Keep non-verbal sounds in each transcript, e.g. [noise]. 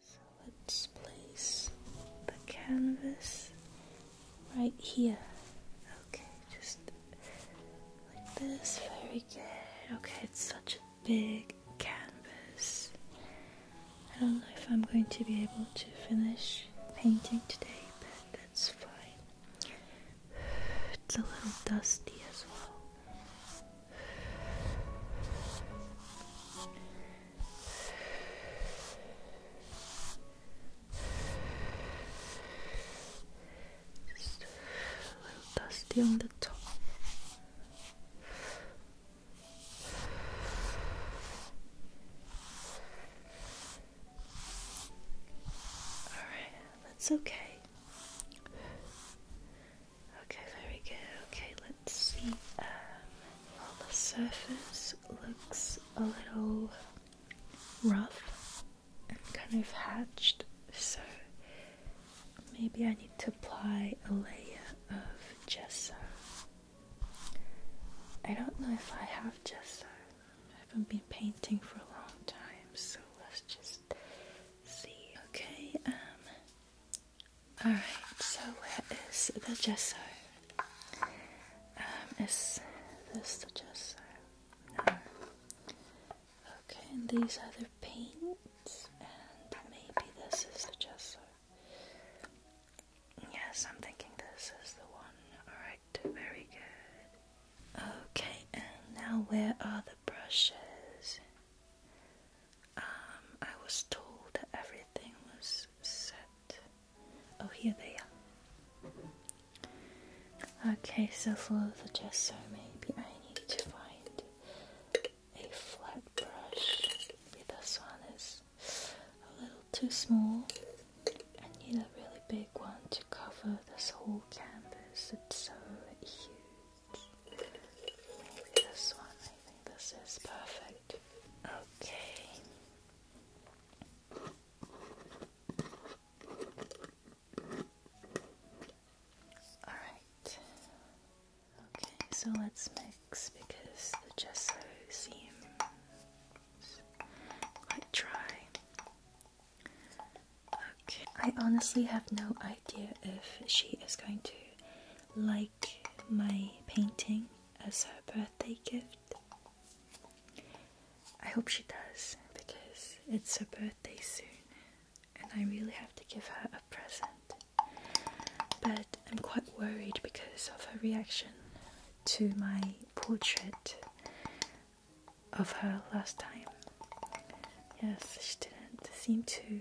So let's place the canvas right here. Okay, just like this. Very good. Okay, it's such a big canvas. I don't know if I'm going to be able to finish painting today, but that's fine. [sighs] It's a little dusty as well. Just a little dusty on the top. All right, that's okay. Okay, very good. Okay, let's see. well, um, the surface looks a little rough and kind of hatched, so maybe I need to apply a layer of gesso. I don't know if I have gesso. I haven't been painting for a long time, so let's just Okay, um, alright, so where is the gesso? Um, is this the gesso? No. Okay, these are the paints, and maybe this is the gesso. Yes, I'm thinking this is the one. Alright, very good. Okay, and now where are the brushes? Um, I was told that everything was set. Oh, here they are. Okay, so for the gesso, maybe I need to find a flat brush. this one is a little too small. I need a really big one to cover this whole whole It's so huge. this one. I think this is perfect. Okay. All right. Okay, so let's mix because the gesso seems quite dry. I honestly have no idea if she is going to like my painting as her birthday gift. I hope she does because it's her birthday soon and I really have to give her a present. But I'm quite worried because of her reaction to my portrait of her last time. Yes, she didn't seem to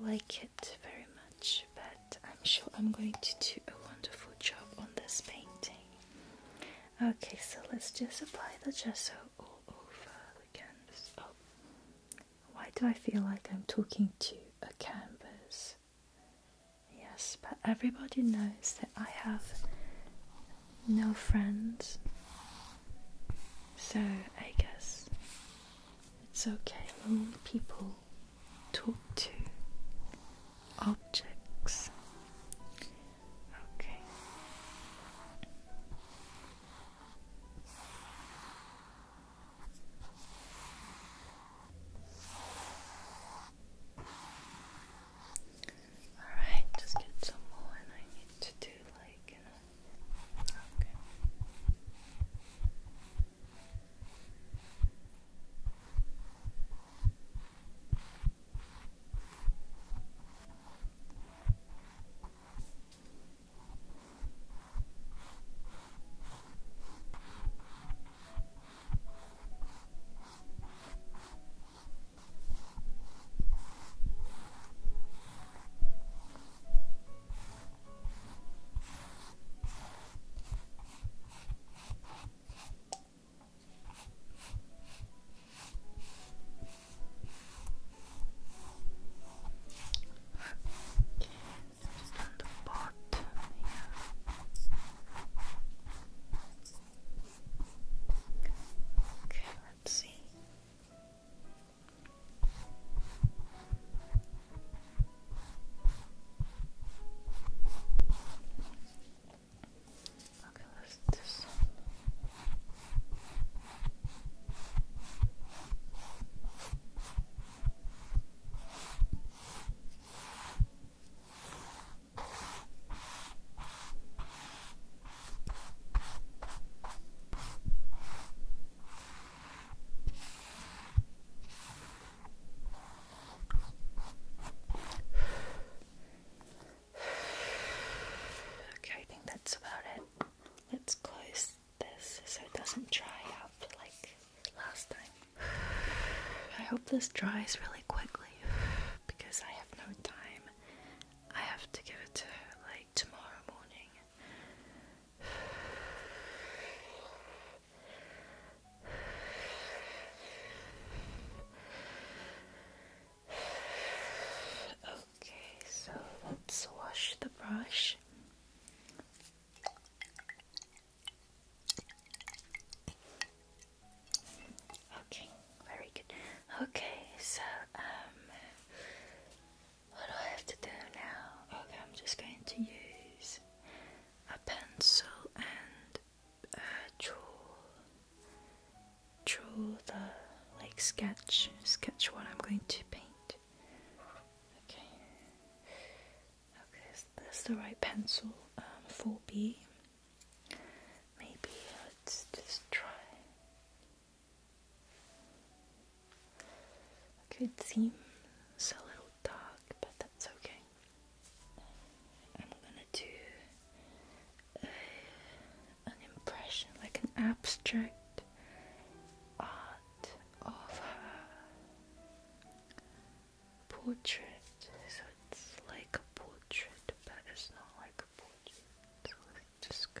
like it very much, but I'm sure I'm going to do a wonderful job on this painting. Okay, so let's just apply the gesso all over the canvas. Oh, why do I feel like I'm talking to a canvas? Yes, but everybody knows that I have no friends. So I guess it's okay. Lonely people talk to objects. Okay. Alright, just get some more I need to do like, you know, Okay. Just on the bottom here. Okay, let's see. Okay, let's this one. Okay, I think that's about it. Let's close this so it doesn't dry out like last time. [sighs] I hope this dries really quickly because I have no time. I have to give it to her like tomorrow morning. Okay, so let's wash the brush. Okay, very good. Okay, so um what do I have to do now? Okay, I'm just going to use a pencil and uh, draw draw the like sketch sketch what I'm going to paint. Okay. Okay, that's the right pencil, um 4B. Maybe let's just try. Okay, it seems a little dark, but that's okay. I'm gonna do an impression, like an abstract art of her portrait. So it's like a portrait, but it's not like a portrait. just go.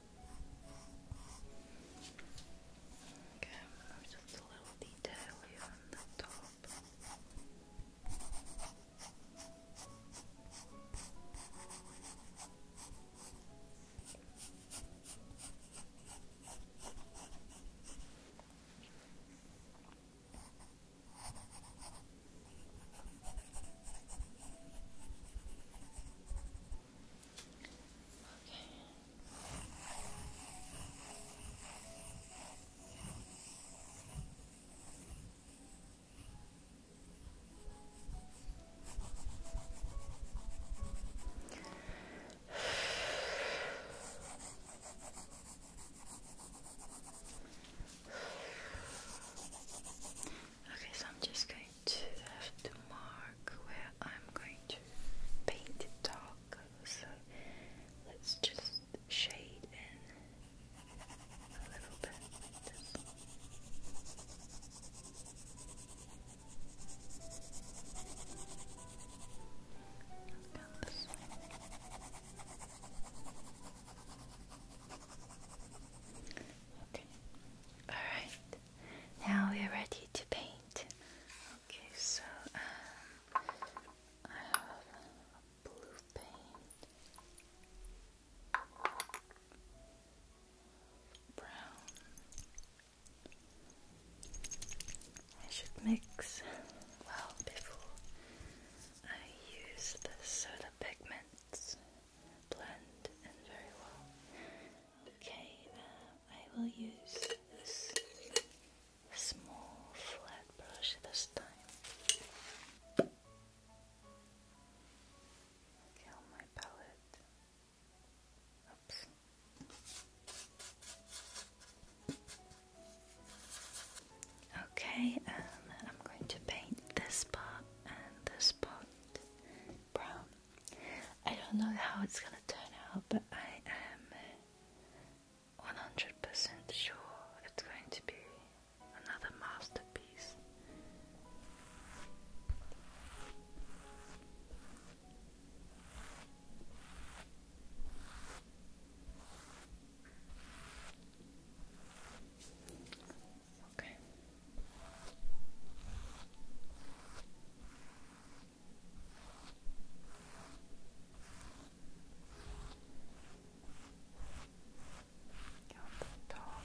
Okay, just a little detail here on the top. [sighs] Okay, so I'm just going to have to mark where I'm going to paint dark, so let's just shade in a little bit Okay. All right. Now we are ready to paint. Okay, so um, I have blue paint, brown. I should mix well before I use the soda pigments blend in very well. Okay, I will use this small flat brush this time. Okay, my palette. Oops. Okay, um, I'm going to paint this part and this part brown. I don't know how it's gonna turn out, but I am 100% sure it's going to be another masterpiece. Okay. Up the top.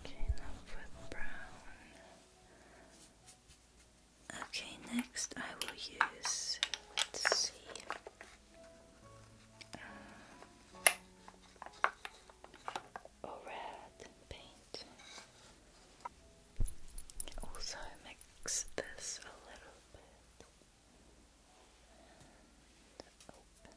Okay, enough next I will use, let's see. Uh, red paint. Also mix this a little bit. And open.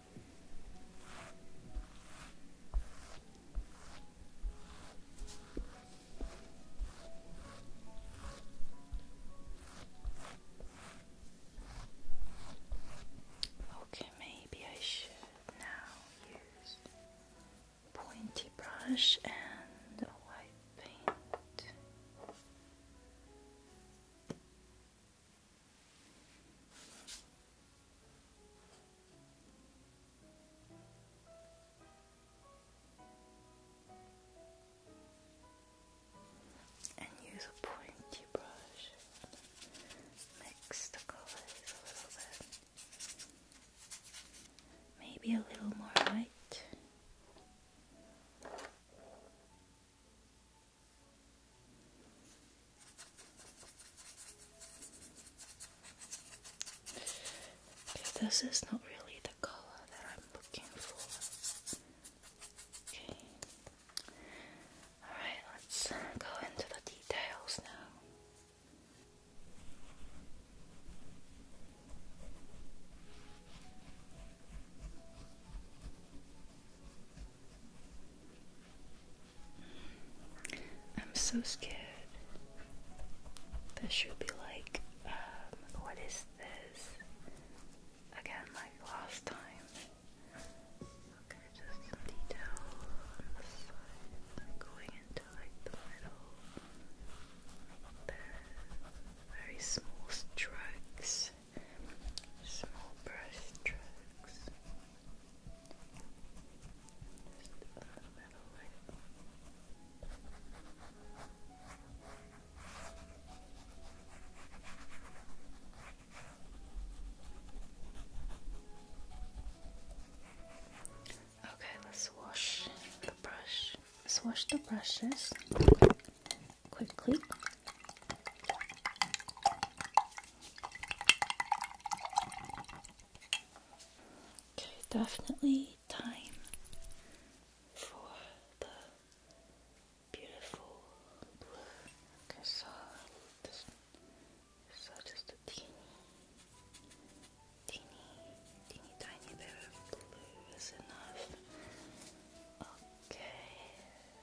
Okay, maybe I should now use pointy brush and white paint. And use a pointy brush. Mix the colors a little bit. Maybe a little more light this is not really the color that I'm looking for. Okay. Alright, let's go into the details now. I'm so scared. That she'll be like, um, what is this? Again, like last time. Okay, just some detail on the side, going into like the middle. very small strokes brush strokes Okay, let's wash the brush. Let's wash the brushes quickly. Okay, definitely time for the beautiful blue. so just a teeny, teeny, teeny tiny bit of blue is enough. Okay,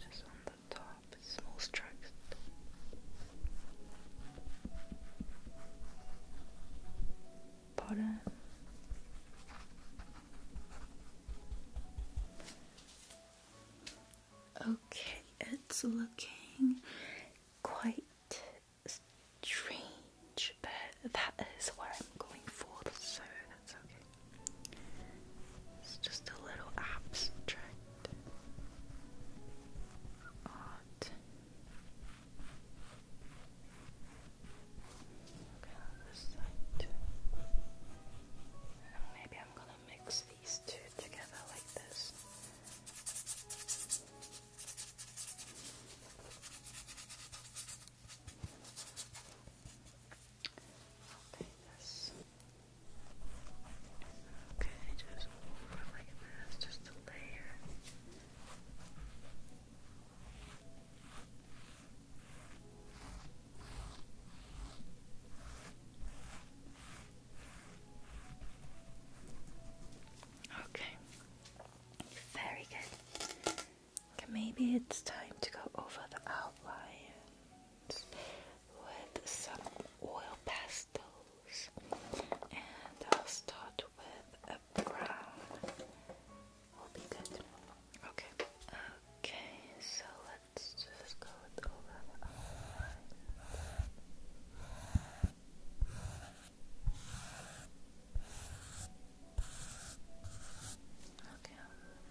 Just on the top, small strokes. Bottom. Okay, it's looking quite strange, but that is where I'm going for. So that's okay. It's just a little abstract maybe I'm gonna mix these two together like this. Okay, just over like this, just a layer. Okay, very good. maybe it's time to go over the outline with some oil pastels, and I'll start with a brown. Will be good. Okay. Okay. So let's just go over Okay.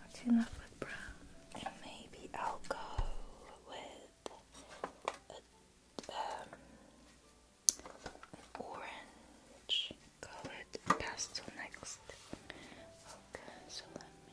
That's enough with brown. maybe I'll go with an um, orange colored pastel next. Okay, so let me.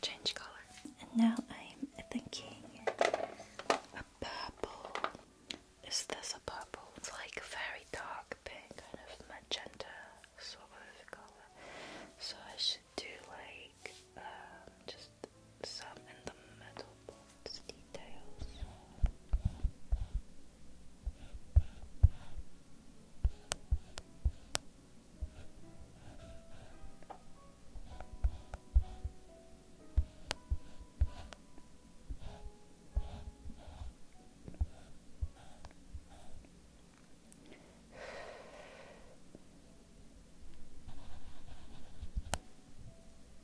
change color. now I'm thinking a purple. Is this a purple? It's like a very dark pink, kind of magenta sort of color. So I should do like um, just some in the metal box details.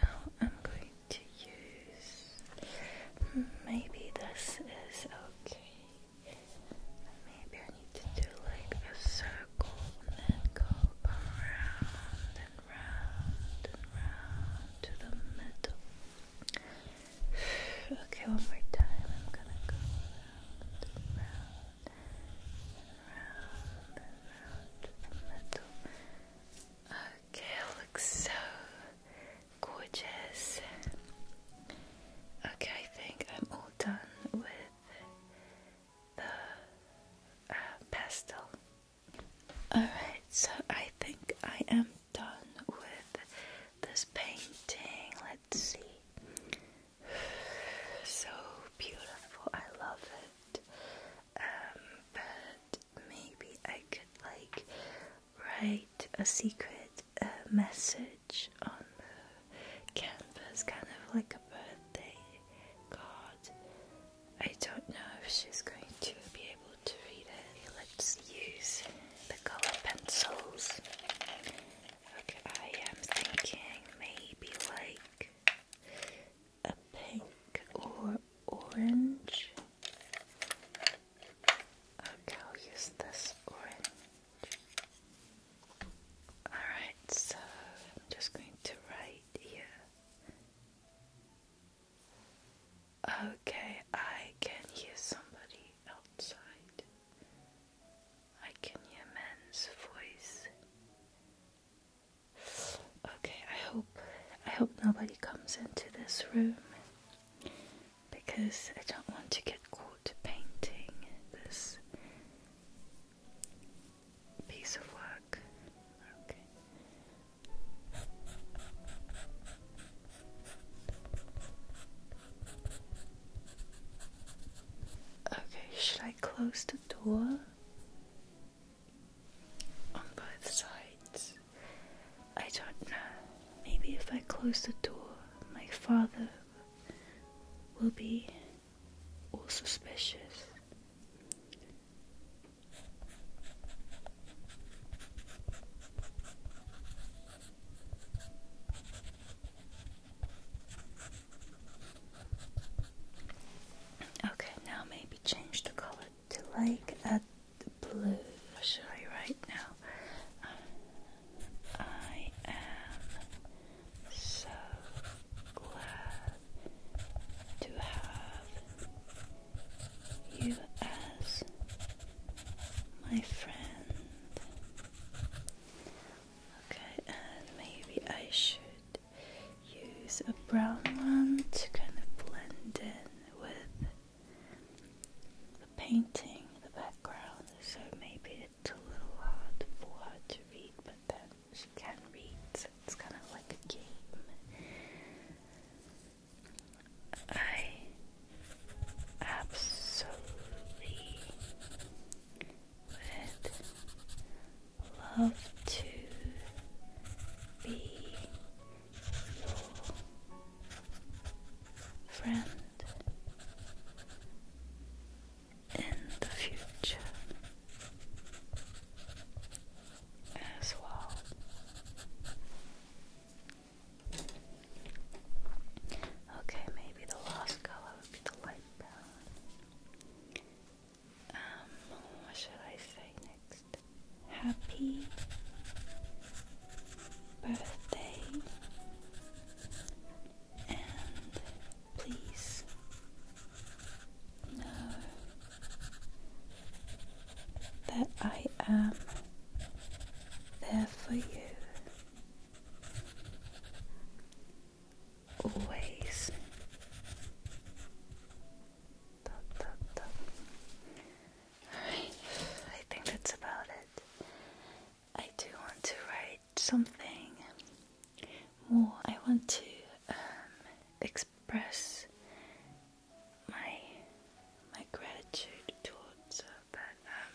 Now I'm going to use. Maybe this is okay. Maybe I need to do like a circle and then go around and round and round to the middle. [sighs] Okay, one more time. I'm gonna go around and round. Okay, looks so gorgeous. Okay, I think I'm all done with the uh, pastel. Alright, so I think I am done with this painting. Let's see so beautiful. I love it. Um, but maybe I could like write a secret uh, message on the canvas, kind of like a birthday card. I don't know if she's going to be able to read it. Let's use the color pencils. Okay, I am thinking maybe like a pink or orange. Okay, I'll use this orange. Alright, so I'm just going to write here. Okay, I can hear somebody outside. I can hear a man's voice. Okay, I hope I hope nobody comes into this room because I don't want to get caught painting this piece of work. Okay. should I close the door? on both sides. I don't know. Maybe if I close the door, my father will be all suspicious. Okay, now maybe change the color to like a blue. I'll show you now. I am so glad to have you as my friend. Okay, and maybe I should use a brown one to kind of blend in with the painting, the background, so maybe it's a little hard for her to read, but then she can read, so it's kind of like a game. I absolutely would love to be your friend in the future as well. Okay, maybe the last color would be the light brown. Um, what shall I say next? Happy birthday and please know that I am there for you always. Alright, I think that's about it. I do want to write something more. I want to um, express my my gratitude towards her, but um,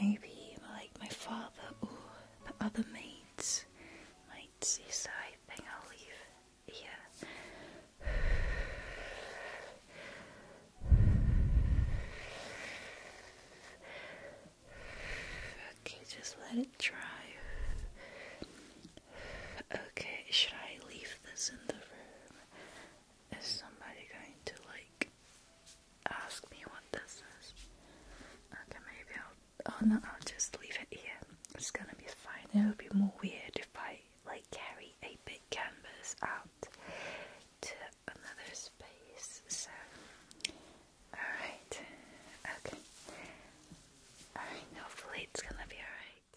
maybe like my father or the other mates might see, so I I'll leave Yeah. Okay, just let it dry. Okay, should I leave this in the room? Is somebody going to like ask me what this is. Okay, maybe I'll. Oh no, I'll just leave it here. It's gonna be fine. It would be more weird if I like carry a big canvas out to another space. So, alright. Okay. Alright, hopefully it's gonna be alright.